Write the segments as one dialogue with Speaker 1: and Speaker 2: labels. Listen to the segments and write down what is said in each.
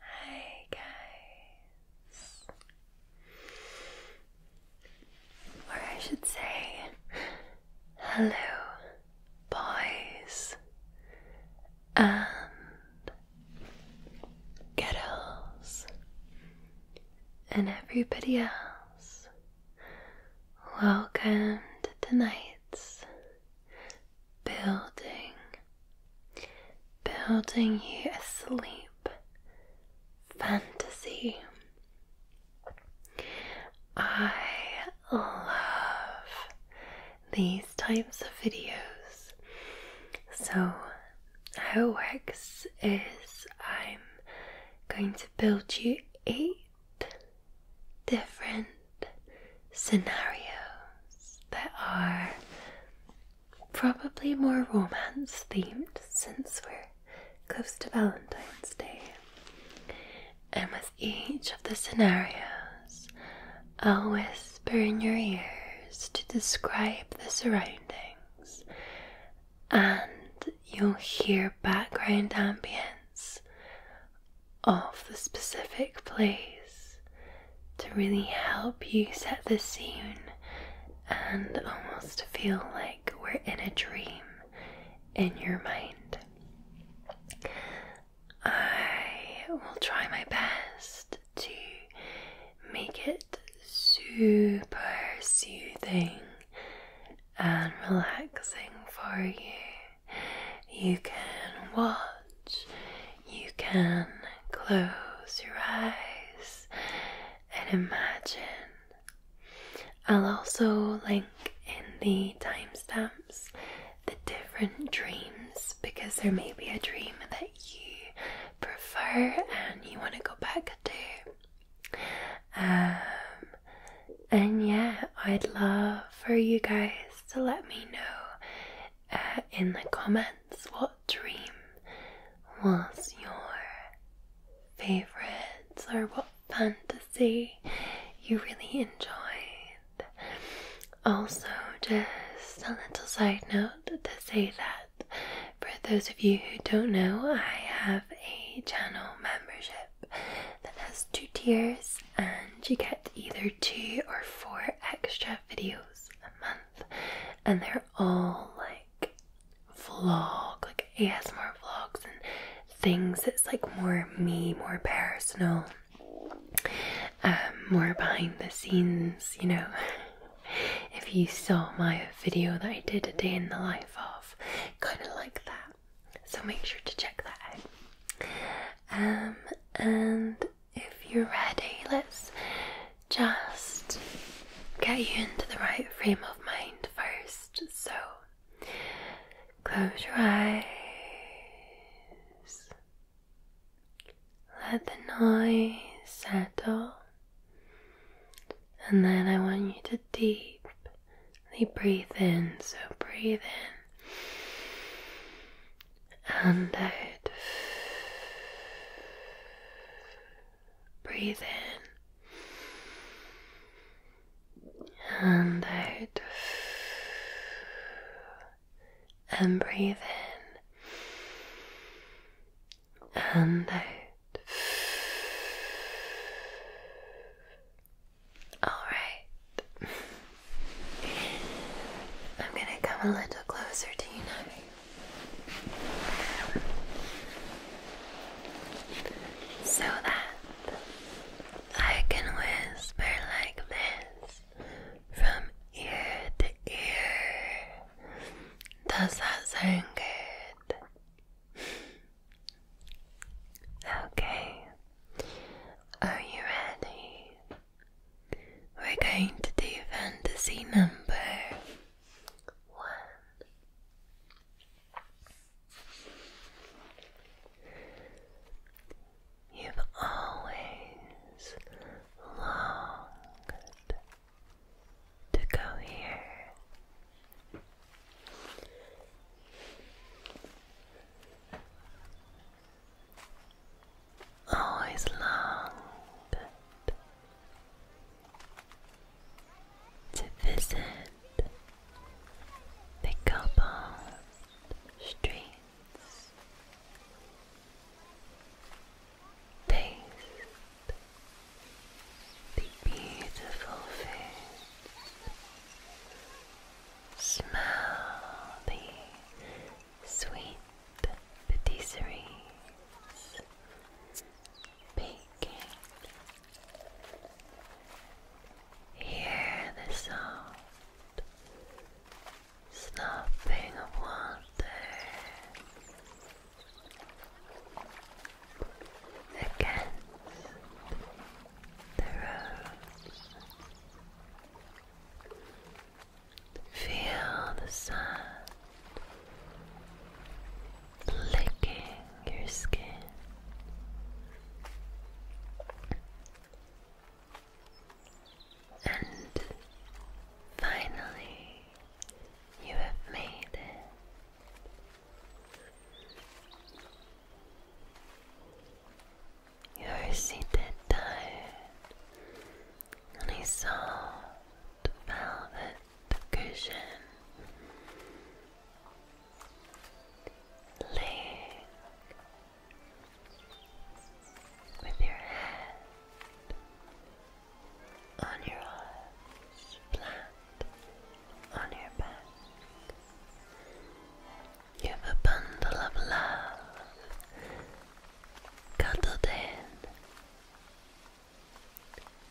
Speaker 1: Hi guys. Or I should say, hello, boys and girls and everybody else. Welcome to tonight's building, building you asleep, fantasy. I love these types of videos. So, how it works is I'm going to build you eight different scenarios that are probably more romance themed since we're close to Valentine's Day. And with each of the scenarios, I'll whisper in your ears to describe the surroundings, and you'll hear background ambience of the specific place to really help you set the scene and almost feel like we're in a dream in your mind. I will try my best to make it super soothing and relaxing for you. You can watch, you can close your eyes and imagine. I'll also link in the timestamps the different dreams because there may be a dream that you prefer and you want to go back to. Um, and yeah, I'd love for you guys to let me know uh, in the comments what dream was your favourite or what fantasy you really enjoyed. Also, just a little side note to say that for those of you who don't know, I have a channel membership that has two tiers, and you get either two or four extra videos a month, and they're all like vlog, like ASMR vlogs and things It's like more me, more personal, um, more behind the scenes, you know. If you saw my video that I did a day in the life of, kind of like that. So make sure to check that out. Um, and if you're ready, let's just get you into the right frame of mind first. So, close your eyes, let the noise settle, and then I want you to deeply breathe in. So, breathe in and out. Breathe in and out, and breathe in and out. Alright. I'm going to come a little closer to you now. So that I can whisper like this from ear to ear. Does that sound good? Okay. Are you ready? We're going to do fantasy number one. You've always longed to go here. Always longed to visit the cobbled streets, taste the beautiful foods Smell the sweet patisseries baking. Hear the sound snapping of against the rose. Feel the sun licking your skin. And finally, you have made it you are seated tired on a soft velvet cushion laying with your head on your arms, flat on your back. You have a bundle of love cuddled in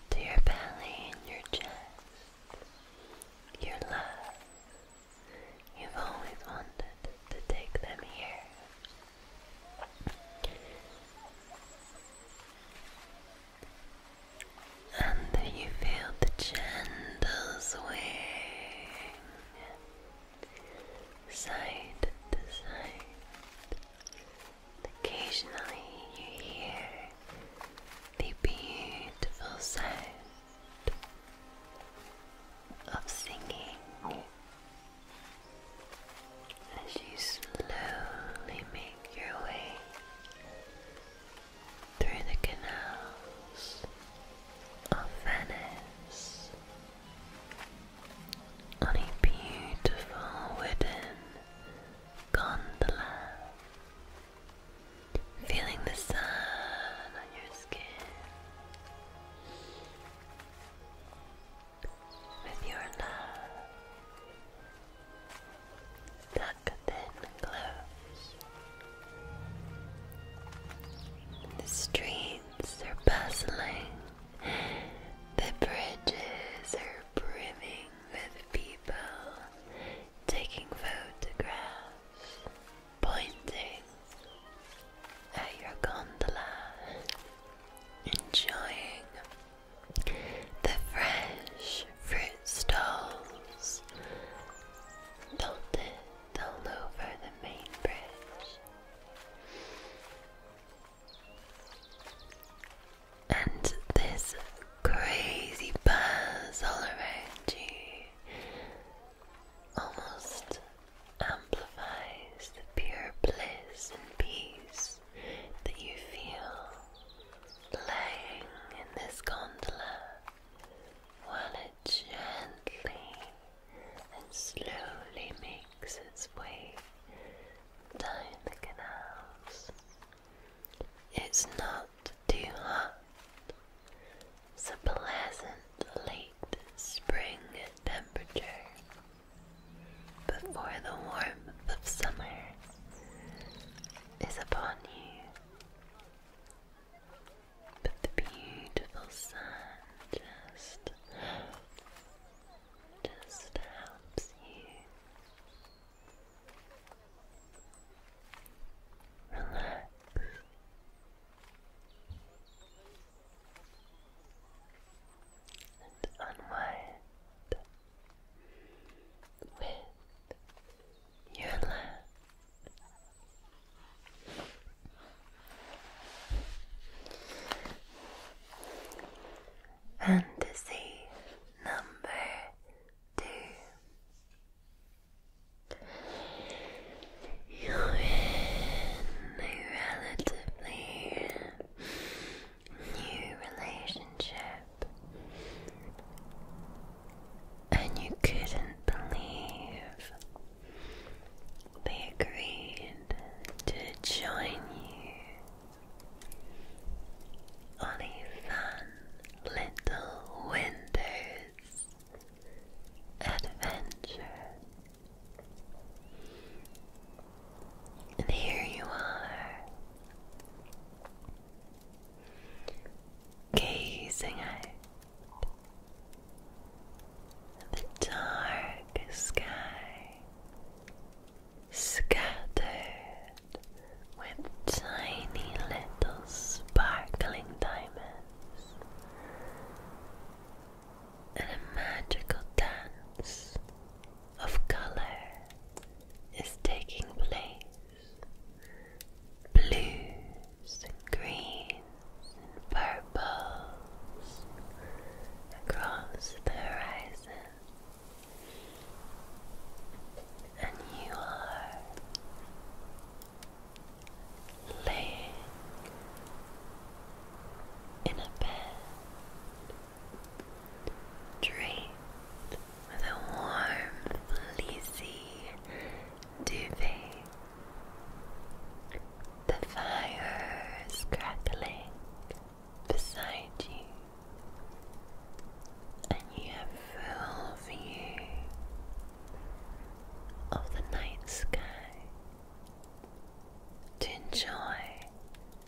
Speaker 1: to your belly and your chest. Your love. You've always wanted to take them here. And you feel the gentle swing side to side. Occasionally, you hear the beautiful sound of singing as you slowly make your way through the canals of Venice on a beautiful wooden gondola, feeling the sun on your skin. With your love, tuck thin clothes. The street they are bustling, the bridges are brimming with people taking photographs, pointing at your gondola, enjoying the fresh fruit stalls, dotted the main bridge. And this crazy buzz all around you almost amplifies the pure bliss and peace that you feel laying in this gondola while it gently and slowly makes its way down the canals. It's not too hot. It's a pleasant late spring temperature before the warmth of summer is upon you. But the beautiful sun just just helps you relax. And unwind with your lap Fantasy number two. You're in a relatively new relationship, and you couldn't believe they agreed to join you on a fun little adventure. And here you are, gazing out the dark sky scattered with tiny little sparkling diamonds and a magical dance of color is taking place blue the greens and purples across the horizon, and you are laying in a bed draped with a warm, fleecy duvet. The fire is crackling beside you, and you have full view of the night sky to enjoy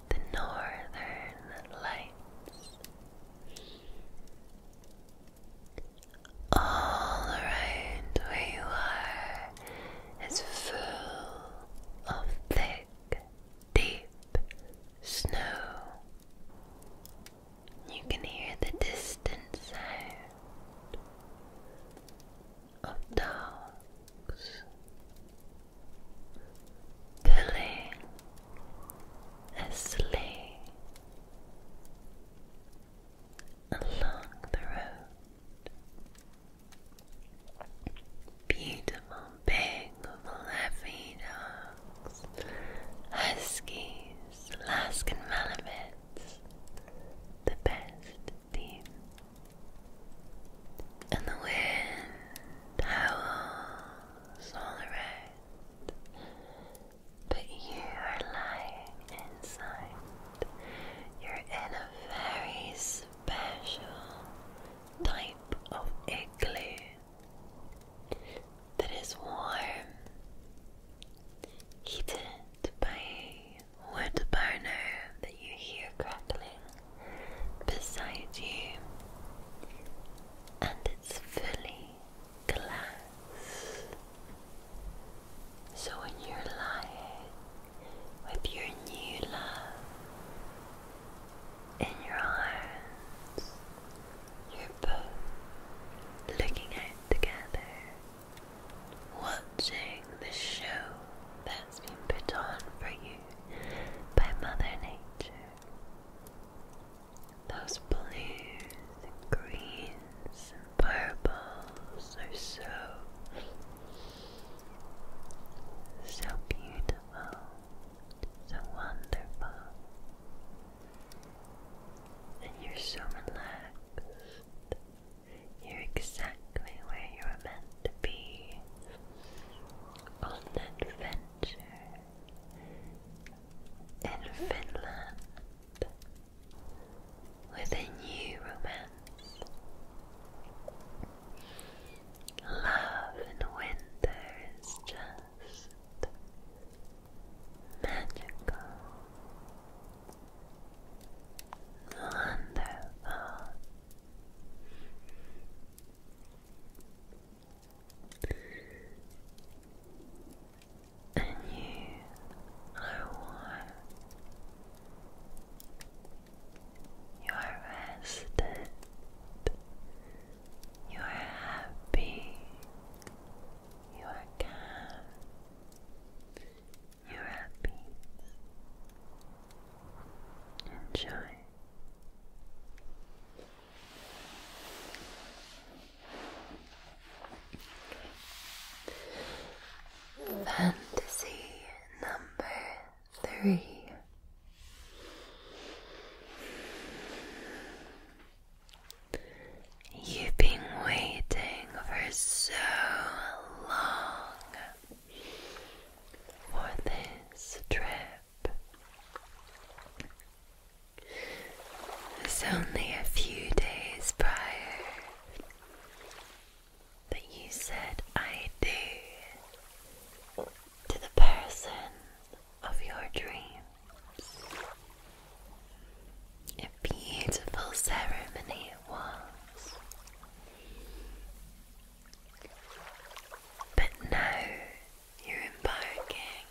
Speaker 1: the northern lights. All around where you are it's full of thick, deep snow. You can hear the distance sound of dogs pulling a sleigh along the road. Beautiful big fluffy dogs, huskies, Alaskan Malamutes, the best team. And the wind howls all around, but you are lying inside you're in a very special type of igloo that is warm, heated by a wood burner that you hear crackling beside you, and it's fully glass. So in your life, with your new love in your arms, you're both looking out together, watching the show that's been put on for you by Mother Nature. Those blues and greens Fireballs are so, so beautiful, so wonderful, and you're so relaxed. You're exactly where you are meant to be on an adventure in Finland with a new romance. Love in winter is just magical, wonderful. And you are warm you are rested. You are happy. You are calm. You are at peace. Enjoy. Fantasy number three. You've been waiting for so long for this trip. It's only a few days prior that you said I do to the person of your dreams. A beautiful ceremony it was. But now you're embarking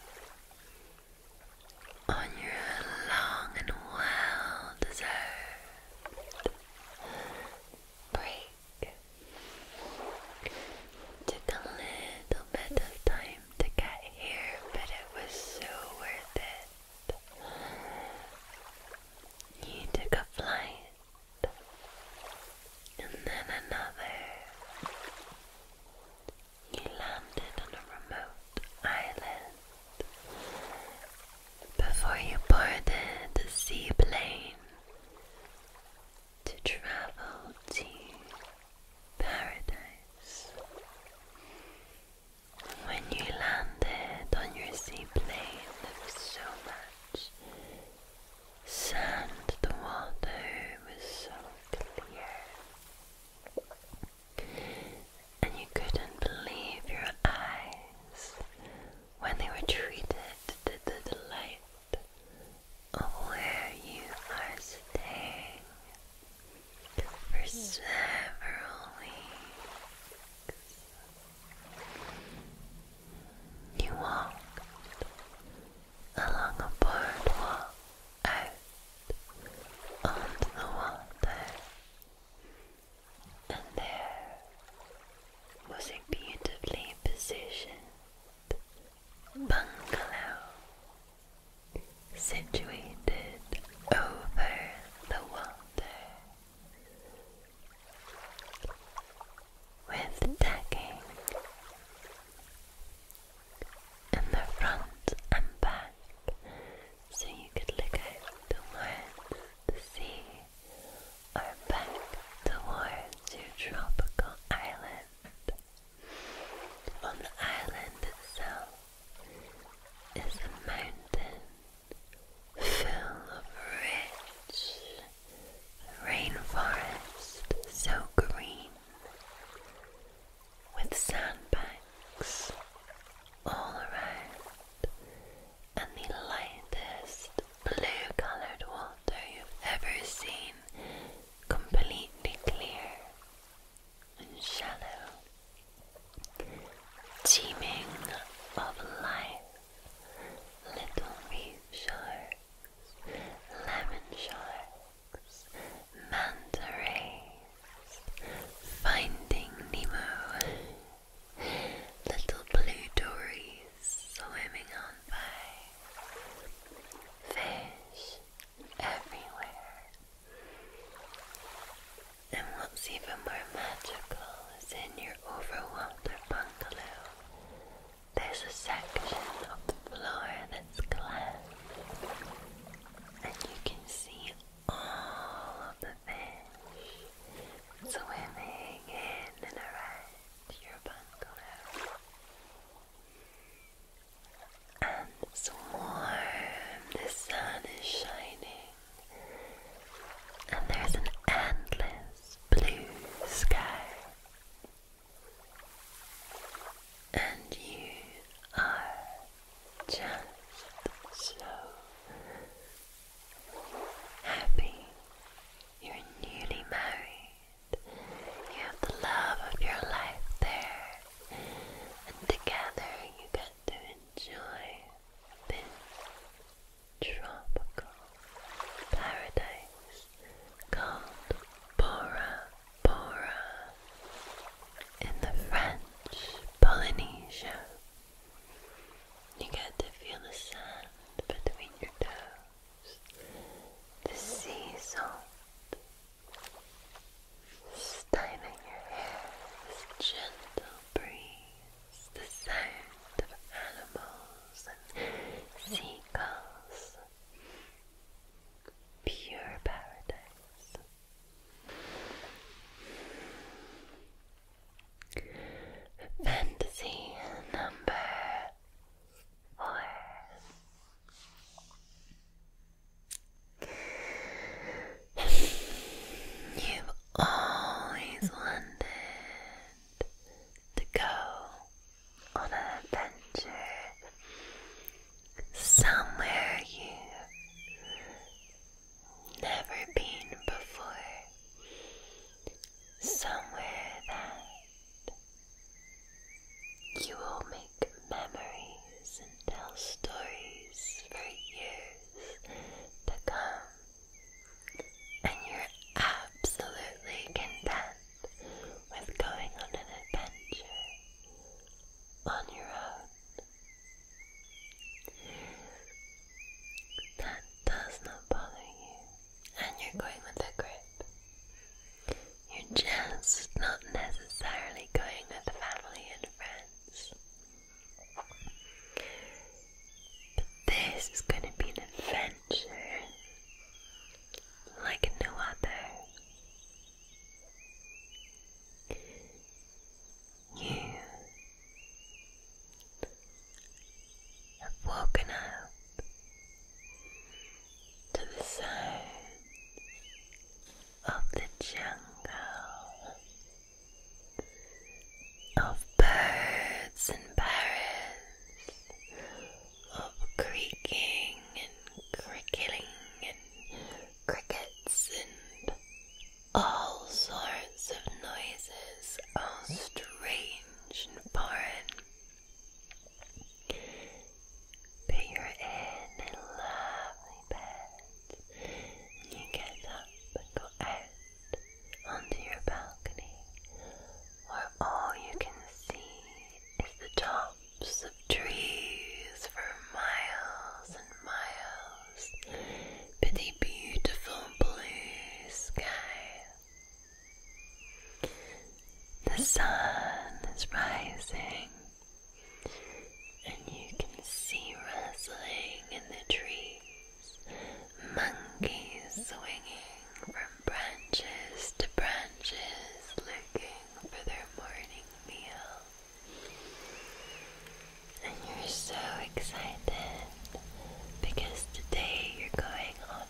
Speaker 1: on your long and well deserved break took a little bit of time to get here but it was so worth it you took a flight and then another you landed on a remote island before you boarded the seaplane to travel to paradise. When you landed on your seaplane, there so much sand, the water was so clear and you couldn't believe your eyes when they were treated to the delight of where you are staying for several weeks. You walked along a boardwalk out onto the water and there was a beautifully positioned bungalow situated over the water with decking in the front and back so you could look out towards the sea back towards your tropical island. On the island itself is a mountain full of rich rainforest, so green, with sandbanks all around, and the lightest blue colored water you've ever seen, completely clear and shallow, teeming of life, little reef sharks, lemon sharks, manta rays, finding Nemo. Little blue dories swimming on by. Fish everywhere. And what's even more magical is in your overwater bungalow, there's a section of the floor that's glass. And you can see all of the fish swimming in and around your bungalow and it's warm, the sun is shining and there's an endless blue sky and you are just so happy. You're newly married. You have the love of your life there. And together you get to enjoy this tropical paradise called Bora Bora in the French Polynesia. You get to feel the sand between your toes, the sea salt in your hair, this gentle breeze, the sound of animals and seagulls. Pure paradise. Fantasy number four. You've always wanted to go on an adventure somewhere you never been before, somewhere that you will make memories and tell stories for years to come, and you're absolutely content with going on an adventure on your own. That does not bother you. And you're going with a grip. You're just not necessarily going with family and friends. But this is going to be an adventure like no other. You have woken up to the sounds of the jungle, of birds and parrots, of creaking and crickling and crickets and all sorts of noises, all strange and foreign. But you're in a lovely bed, you get up and go out onto your balcony, where all you can see is the tops of trees for miles and miles but a beautiful blue sky. The sun is rising, and you can see rustling in the trees, monkeys swinging from branches to branches, looking for their morning meal. And you're so excited because today you're going on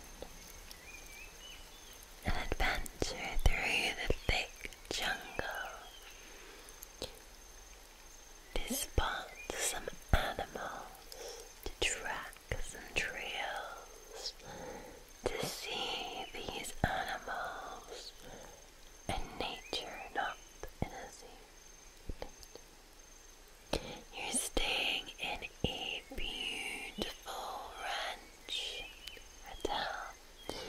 Speaker 1: an adventure through the thick jungle to spot some animals, to track some trails, to see these animals and nature not in a zoo. You're staying in a beautiful ranch hotel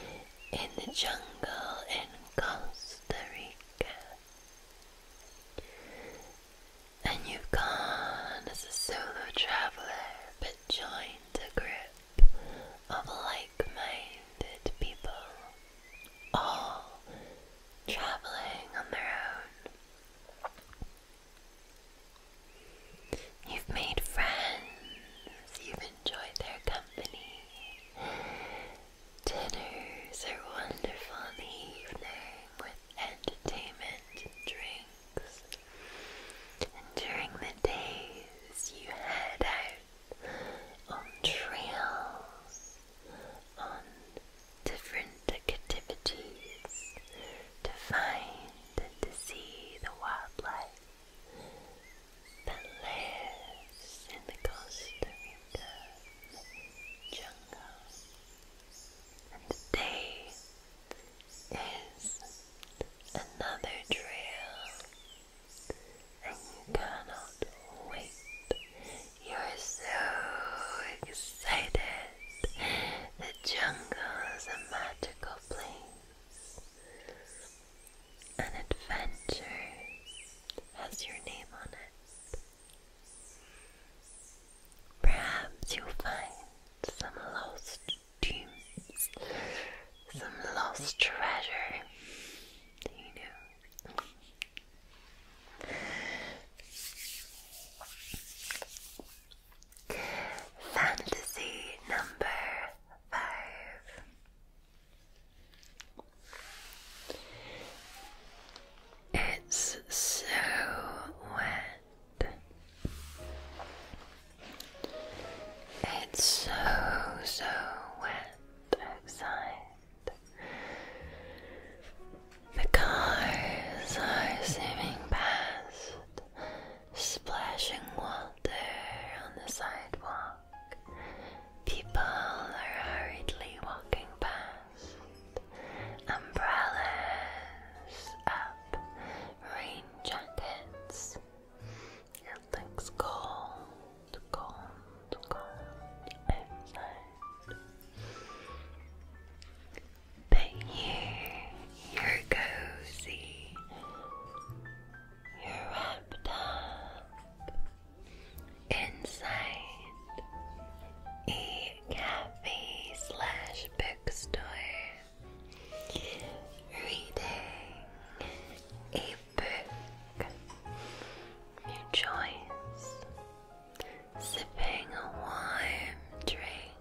Speaker 1: in the jungle in Costa Rica. And you've gone as a solo traveler but joined a group of like minded people, all traveling on their own. You've made friends, you've enjoyed their company. Dinners are wonderful in with entertainment and drinks. And during the days, you head out on trails on different activities to find and to see the wildlife that lives in the Costa Rica jungle. And today is another trail, and you cannot wait you're so excited. The jungle is a magical place. An adventure has your name on it. Perhaps you'll find some lost dreams, some lost treasure. You know. Fantasy number five. It's so wet. It's so, so wet outside. The cars are zooming past, splashing water on the sidewalk. People are hurriedly walking past, umbrellas up, rain jackets. It looks cold, cold, cold outside. But you, you're cozy, you're wrapped up inside a cafe slash bookstore, reading a book, your choice sipping a warm drink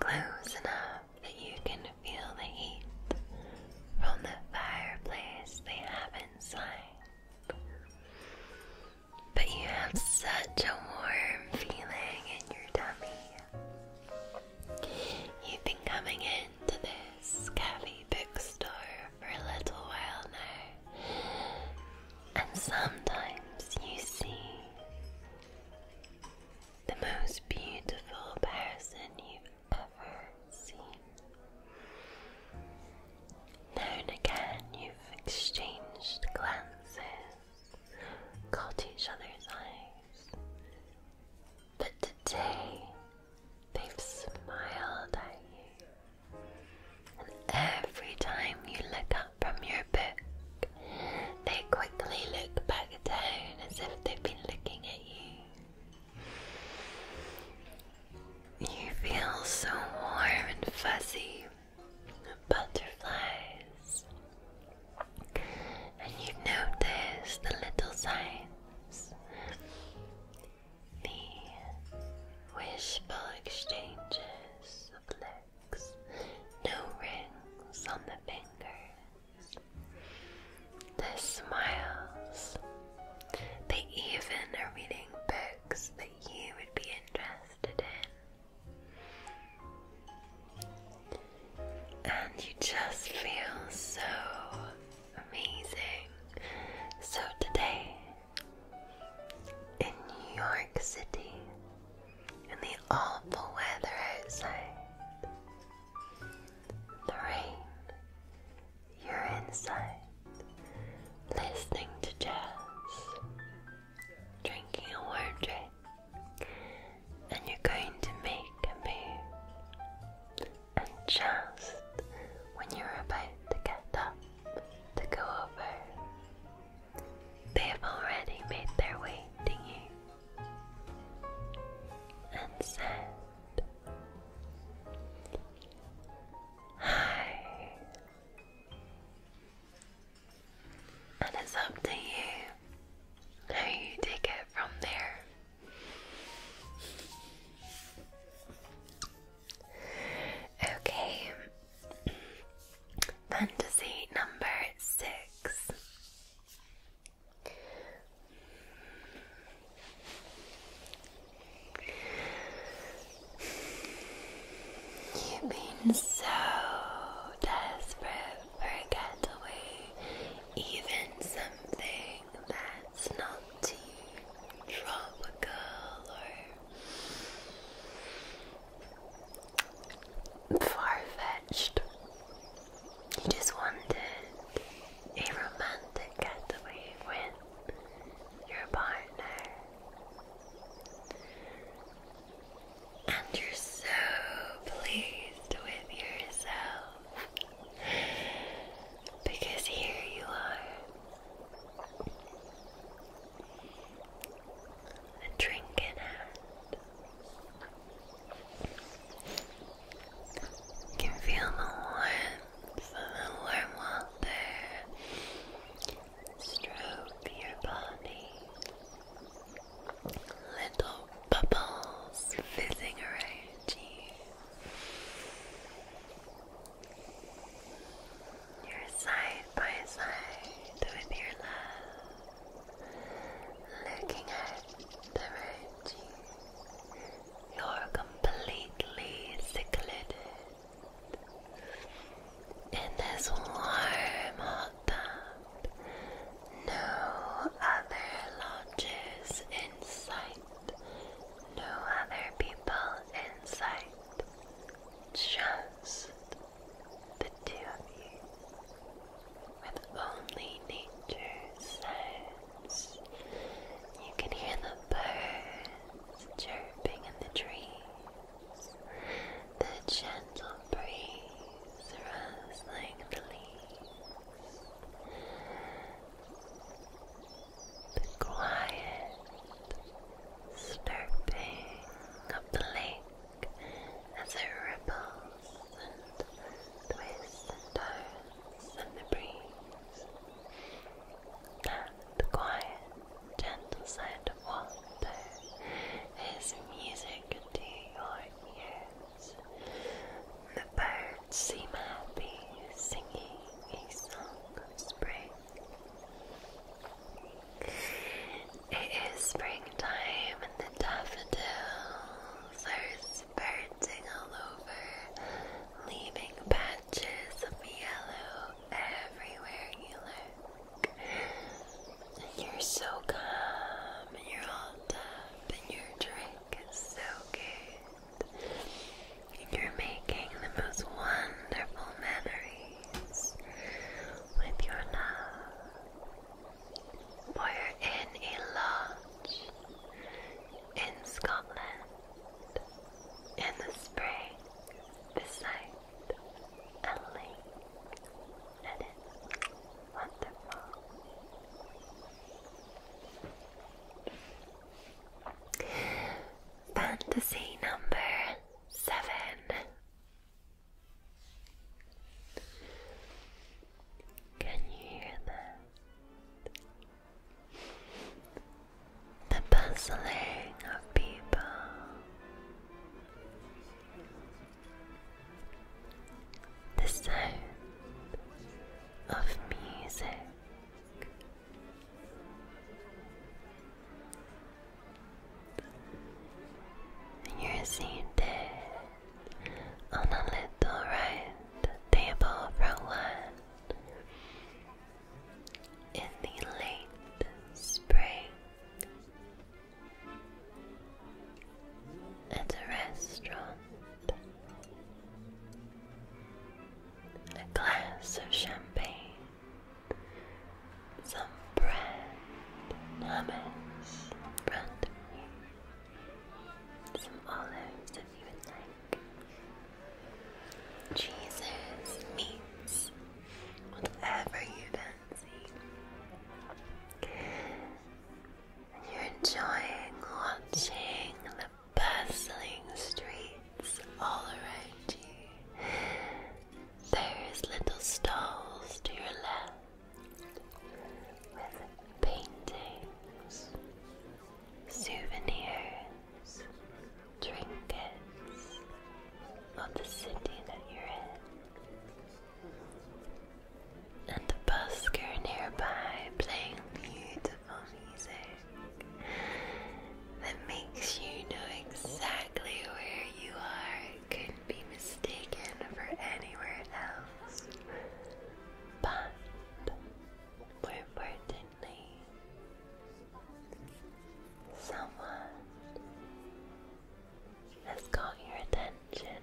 Speaker 1: close enough that you can feel the heat from the fireplace they have inside. But you have such a warm feeling in your tummy. You've been coming into this cafe bookstore for a little while now. And sometimes you see the most beautiful person you've ever seen. Now and again, you've exchanged glances, caught each other's eyes. But today, they've smiled at you Every time you look up from your book, they quickly look back down as if they've been looking at you. You feel so warm and fuzzy, butterflies, and you notice the little signs. The wishful exchanges no rings on the fingers. They smiles. They even are reading books that you would be interested in. And you just feel so amazing. So today in New York City in the awful weather outside. The rain, you're inside, listening to jazz, drinking a warm drink, and you're going to make a move. And just when you're about to get up to go over, they have already made their way to you and said, Hi. And it's up to you how you take it from there. Okay. Fantasy number six. You've been so desperate for a getaway, even something that's not too tropical or far-fetched. He just wanted a romantic getaway with your partner. And you're so pleased with yourself because here you are a drink in hand. You feel the warmth of the warm water stroke your body. Little bubbles fizzing around you. You're side by side with your love, looking at the you. You're completely secluded in this warm hot tub. No other lodges in sight, no other people in sight. Just the two of you, with only nature's sounds. You can hear the birds chirping in the trees, the gentle breeze rustling the leaves, the quiet slurping of the lake as it ripples and twists and turns in the breeze. That quiet, gentle sound of water is music to your ears. The birds seem happy, singing a song of spring. It is springtime and the daffodils are spurting all over, leaving patches of yellow everywhere you look. You're so calm, and you're all up, and your drink is so good. You're making the most wonderful memories with your love. We're in a lodge in Scotland in the spring beside a lake, and it's wonderful. Fantasy number seven can you hear that? The bustling of people. The sound of music. You're seated on a little round table for one in the late spring at a restaurant. A glass of champagne some bread and hummus some olives if you like. Jesus meats, whatever you fancy. you're enjoying watching the bustling streets all around you there's little stalls to your left with paintings, souvenirs, trinkets of the city that you're in. And a busker nearby playing beautiful music that makes you know exactly where you are couldn't be mistaken for anywhere else. But more importantly, someone has got your attention.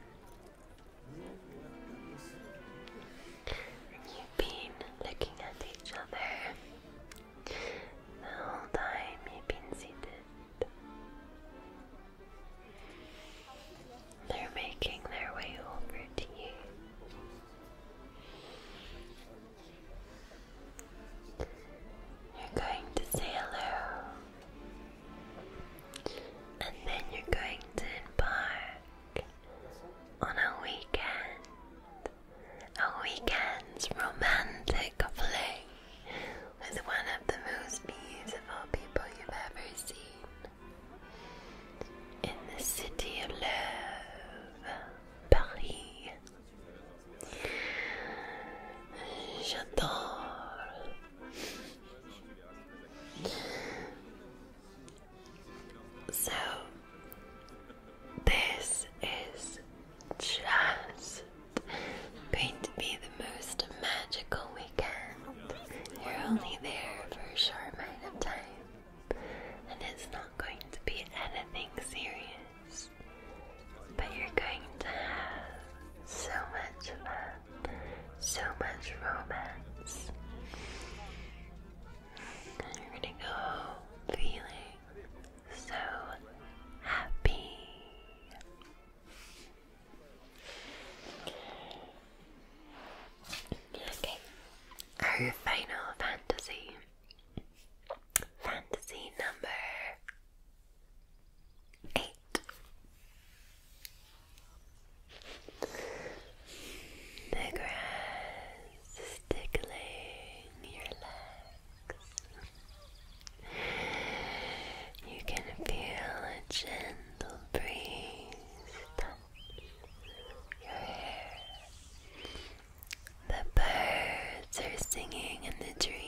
Speaker 1: You've been looking at each other the whole time you've been seated they're making their way over to you. You're going to say hello, and then you're going to embark on a weekend, a weekend's romantic fling was one of the most beautiful people you've ever seen. In the city of love, Paris. J'adore. So, this is just going to be the most magical weekend. You're only there for a short amount of time, and it's not going to be anything serious. But you're going to have so much fun, so much romance. you're gonna go feeling so happy. Okay, our final fantasy. Fantasy number eight. The grass tickling your leg. You can feel a gentle breeze touch your hair. The birds are singing in the trees.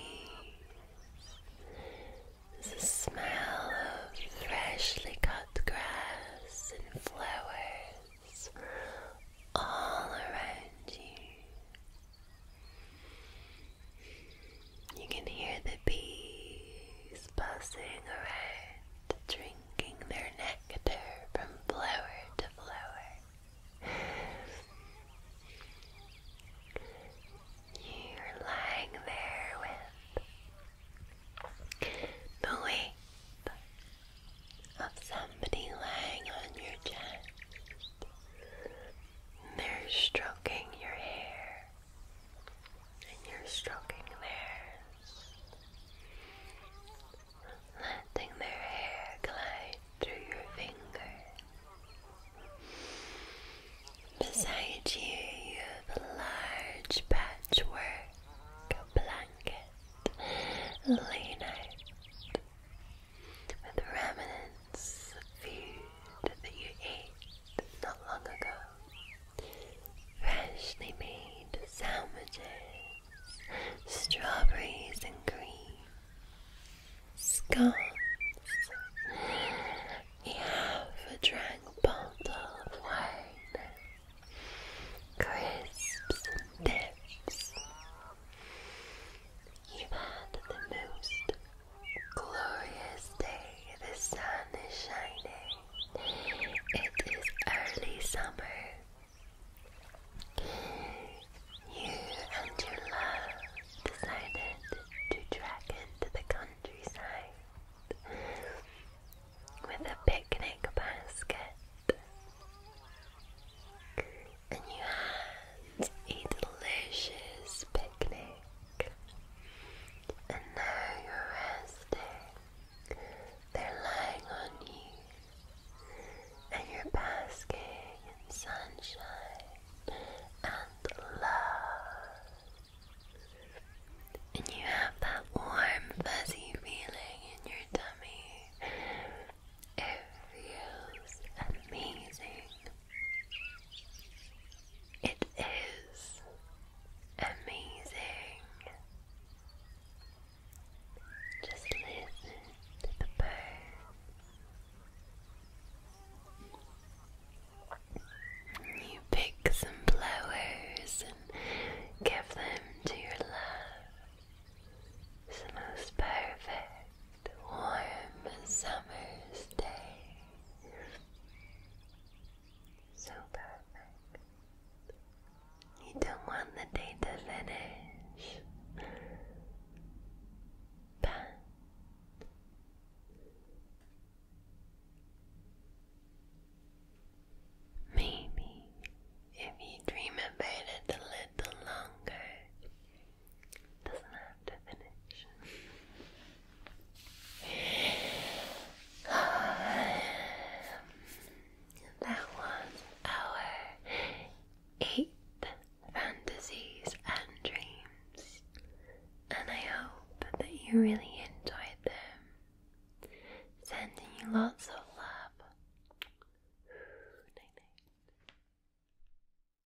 Speaker 1: The smell of freshly cut grass and flowers all around you. You can hear the bees buzzing around, drinking their nectar from flower to flower. You're lying there with the weight of somebody lying on your chest. They're stroking your hair, and you're stroking theirs, letting their hair glide through your fingers. Beside you, you have a large patchwork blanket laid out with remnants of food that you ate not long ago. Freshly made sandwiches, strawberries and cream, scones. You have a drank bottle of wine, crisps and dips. You've had the most glorious day. The sun is shining. It is early summer. You and your love decided to trek into the countryside with a picnic basket and you had a delicious picnic, and now you're resting. They're lying on you, and you're basking in sunshine and love. And you have that warm, fuzzy feeling in your tummy. It feels amazing. It is amazing. Just listen to the birds. You pick some flowers and give them to your love. It's the most perfect the warm summer's day. So perfect. You don't want the day to finish. But maybe if you dream about it a little longer, that was our eight fantasies and dreams, and I hope that you really enjoyed them. Sending you lots of love. Night